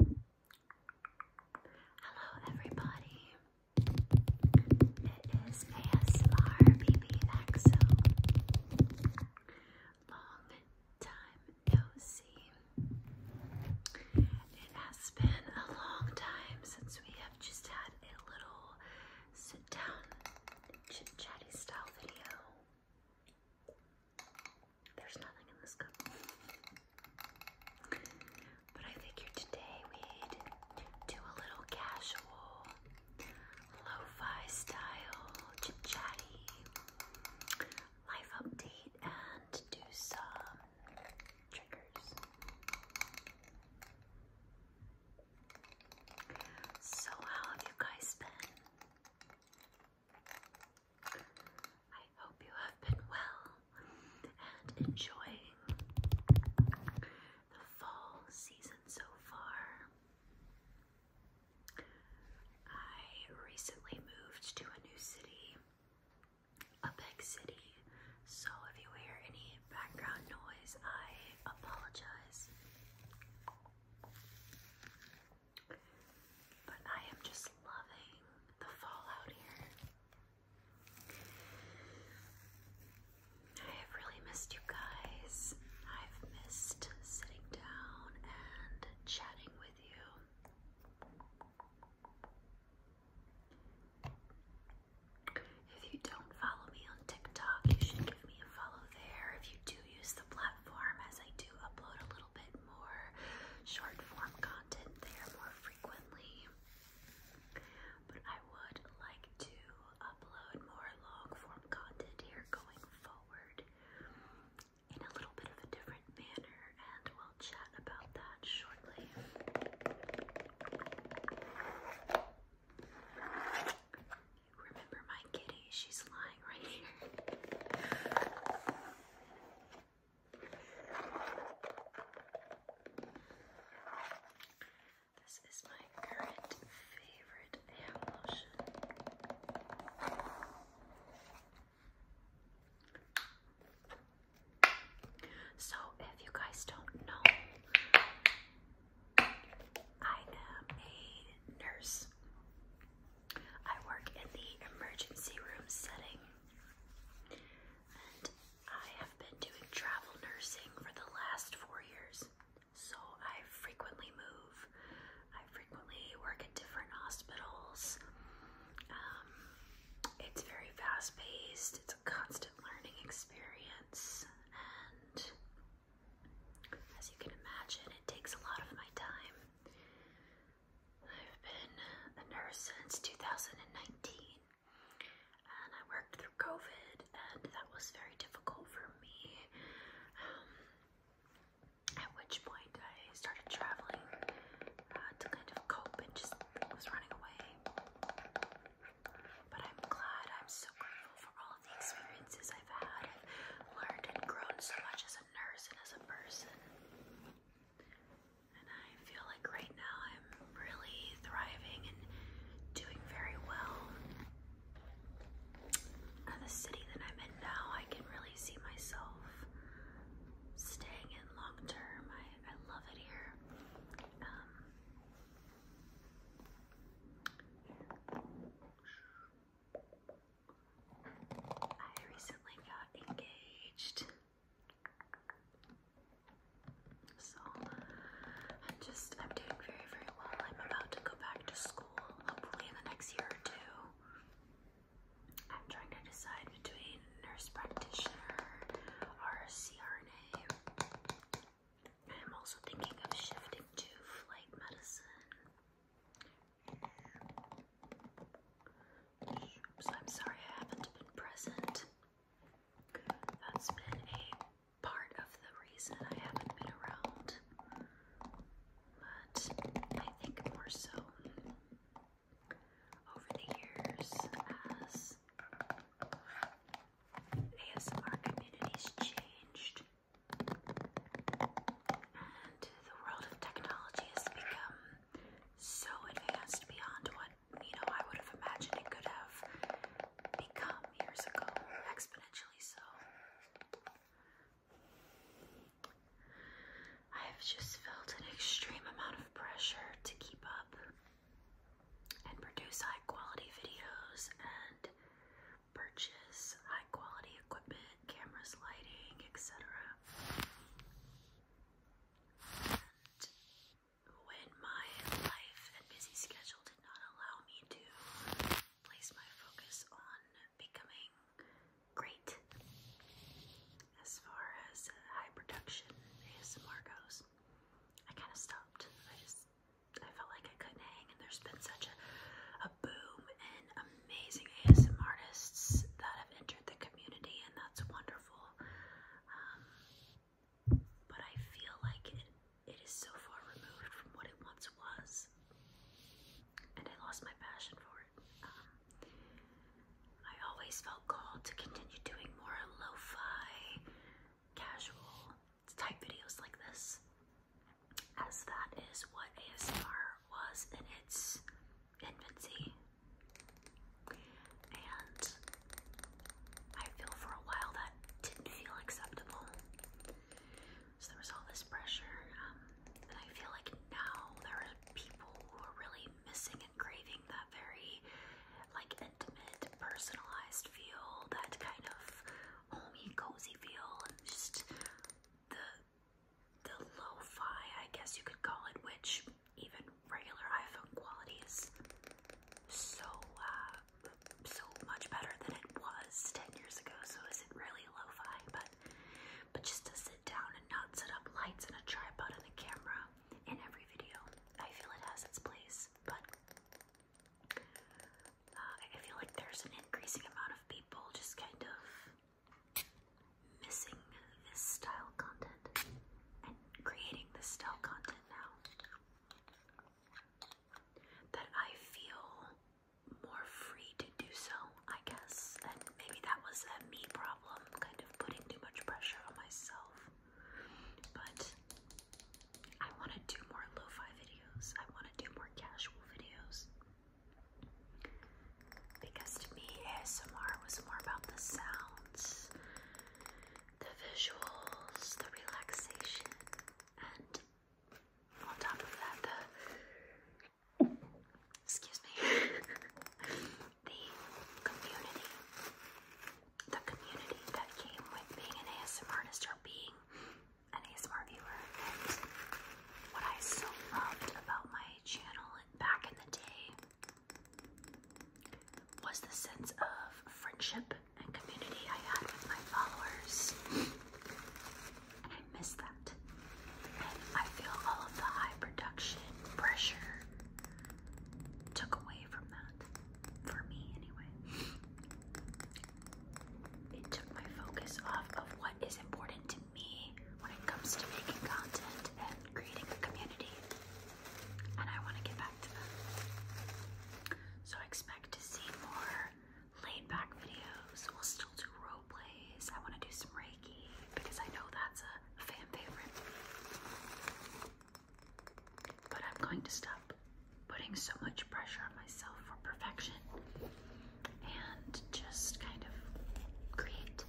Hello, everybody. It is ASMR BBXO. Long time no see. It has been a long time since we have just had a little sit down, chit chatty style video. There's nothing in this cup. But I figured today we'd do a little casual, lo-fi style, chatty life update and do some triggers. So how have you guys been? I hope you have been well and enjoying the fall season so far. I recently moved to a new city, a big city, so if you hear any background noise, I apologize. But I am just loving the fallout here. I have really missed you guys. I've missed sitting down and chatting with you. If you don't follow me on TikTok, you should give me a follow there. If you do use the platform, as I do upload a little bit more short form content there more frequently. But I would like to upload more long form content here going forward in a little bit of a different manner, and we'll chat about that shortly. remember my kitty? She's lying right here. This is my current favorite lotion. So, if you guys don't know, I am a nurse. I work in the emergency room setting. I have been doing travel nursing for the last four years. So I frequently move. I frequently work at different hospitals. Um, it's very fast paced, it's a constant learning experience, and as you can imagine, it takes a lot of my time. I've been a nurse since 2019 and I worked through COVID and that was very difficult for me. Um, at which point I started traveling uh, to kind of cope and just was running away. But I'm glad, I'm so grateful for all of the experiences I've had. i learned and grown so much as a nurse and as a person. And I feel like right now I'm really thriving and doing very well. At the city that I'm in now, I can really see myself staying in long term. I, I love it here. Um, I recently got engaged. So I'm just I'm doing very very well. I'm about to go back to school hopefully in the next year or two. I'm trying to decide between nurse practitioner or CRNA. I'm also thinking of shifting to flight medicine so I'm sorry I haven't been present. That's been a part of the reason I haven't been around. But I think more so over the years as our communities changed and the world of technology has become so advanced beyond what you know I would have imagined it could have become years ago, exponentially so. I have just felt an extreme amount of pressure to keep up and produce high quality videos and purchase high quality equipment, cameras, lighting, etc. And when my life and busy schedule did not allow me to place my focus on becoming great as far as high production ASMR goes, I kind of stopped. I just I felt like I couldn't hang, and there's been such a, a boom and a amazing ASM artists that have entered the community, and that's wonderful. Um, but I feel like it, it is so far removed from what it once was, and I lost my passion for it. Um, I always felt called to continue doing more lo-fi, casual type videos like this, as that is what ASMR was in its infancy. And I feel for a while that didn't feel acceptable. So there was all this pressure. Um, and I feel like now there are people who are really missing and craving that very like intimate, personalized feel, that kind of homey, cozy feel, and just the the lo-fi, I guess you could call it, which even regular iPhone quality is so uh, so much better than it was 10 years ago. So is it really lo-fi? But but just to sit down and not set up lights and a tripod and a camera in every video, I feel it has its place. But uh, I feel like there's an increasing amount of people just kind of missing this style content and creating this style content now that I feel more free to do so, I guess. And maybe that was a me problem, kind of putting too much pressure on myself. But I want to do more lo fi videos, I want to do more casual videos. Because to me, ASMR was more about the sounds, the visuals, the relaxation, and on top of that, the excuse me, the community, the community that came with being an ASMR artist being an ASMR viewer. And what I so loved about my channel back in the day was the sense of friendship and community I had with my followers. And I miss that. And I feel all of the high production pressure took away from that. For me, anyway. It took my focus off of what is important to me when it comes to making content and creating a community. And I want to get back to that. So expect to see more laid back videos. We'll still do role plays. I want to do some Reiki because I know that's a fan favorite. But I'm going to stop putting so much pressure on myself for perfection and just kind of create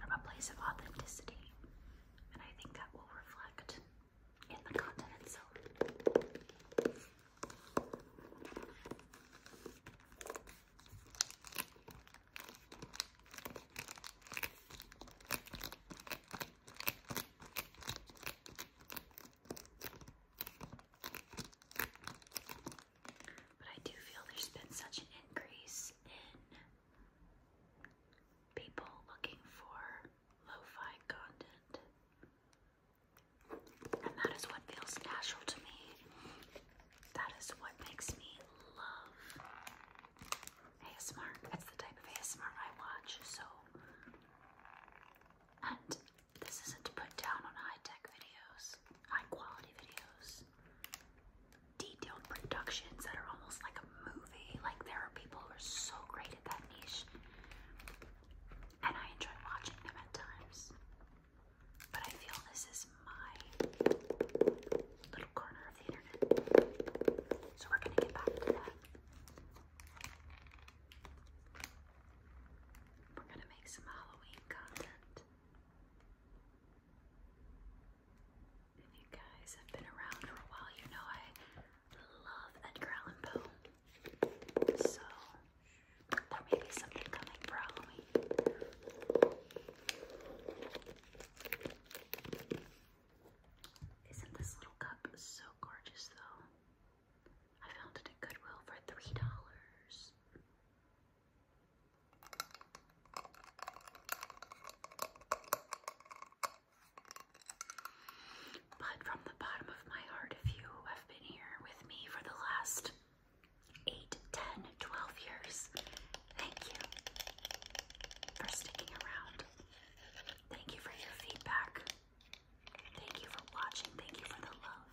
from a place of authenticity. And I think that will reflect in the content itself. But I do feel there's been such an increase in people looking for lo-fi content. And that is what feels natural to me. That is what makes me love ASMR. That's the type of ASMR I watch, so and this isn't to put down on high-tech videos, high-quality videos detailed productions that are almost like a movie. Like there are people who are so great at that niche. And I enjoy watching them at times. But I feel this is my little corner of the internet. So we're gonna get back to that. We're gonna make some Halloween content you guys have been around for a while, you know I love Edgar Allan Poe. So there may be something coming for Halloween. Isn't this little cup so gorgeous though? I found it at Goodwill for three dollars. But from the bottom of my heart, if you have been here with me for the last 8, years, thank you for sticking around. Thank you for your feedback. Thank you for watching. Thank you for the love.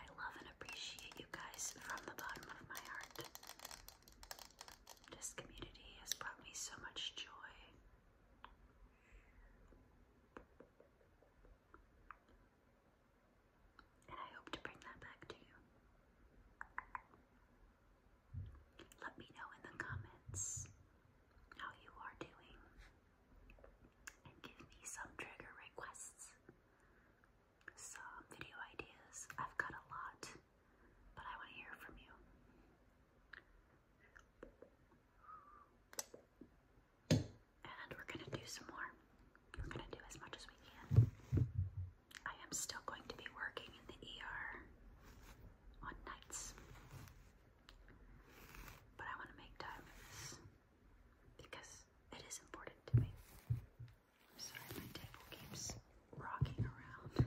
I love and appreciate you guys from the bottom of my heart. This community has brought me so much joy. And I hope to bring that back to you. Let me know in the comments how you are doing and give me some trigger requests some video ideas. I've got a lot, but I want to hear from you. And we're going to do some more. We're going to do as much as we can. I am still going to be working in the ER on nights, but I want to make time for this because it is important to me. I'm sorry, my table keeps rocking around.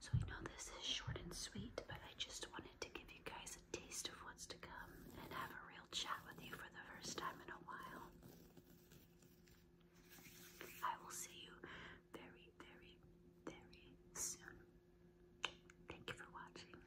So I know this is short and sweet, but I just wanted to give you guys a taste of what's to come and have a real chat with you for the first time in a while. I will see you very, very, very soon. Thank you for watching.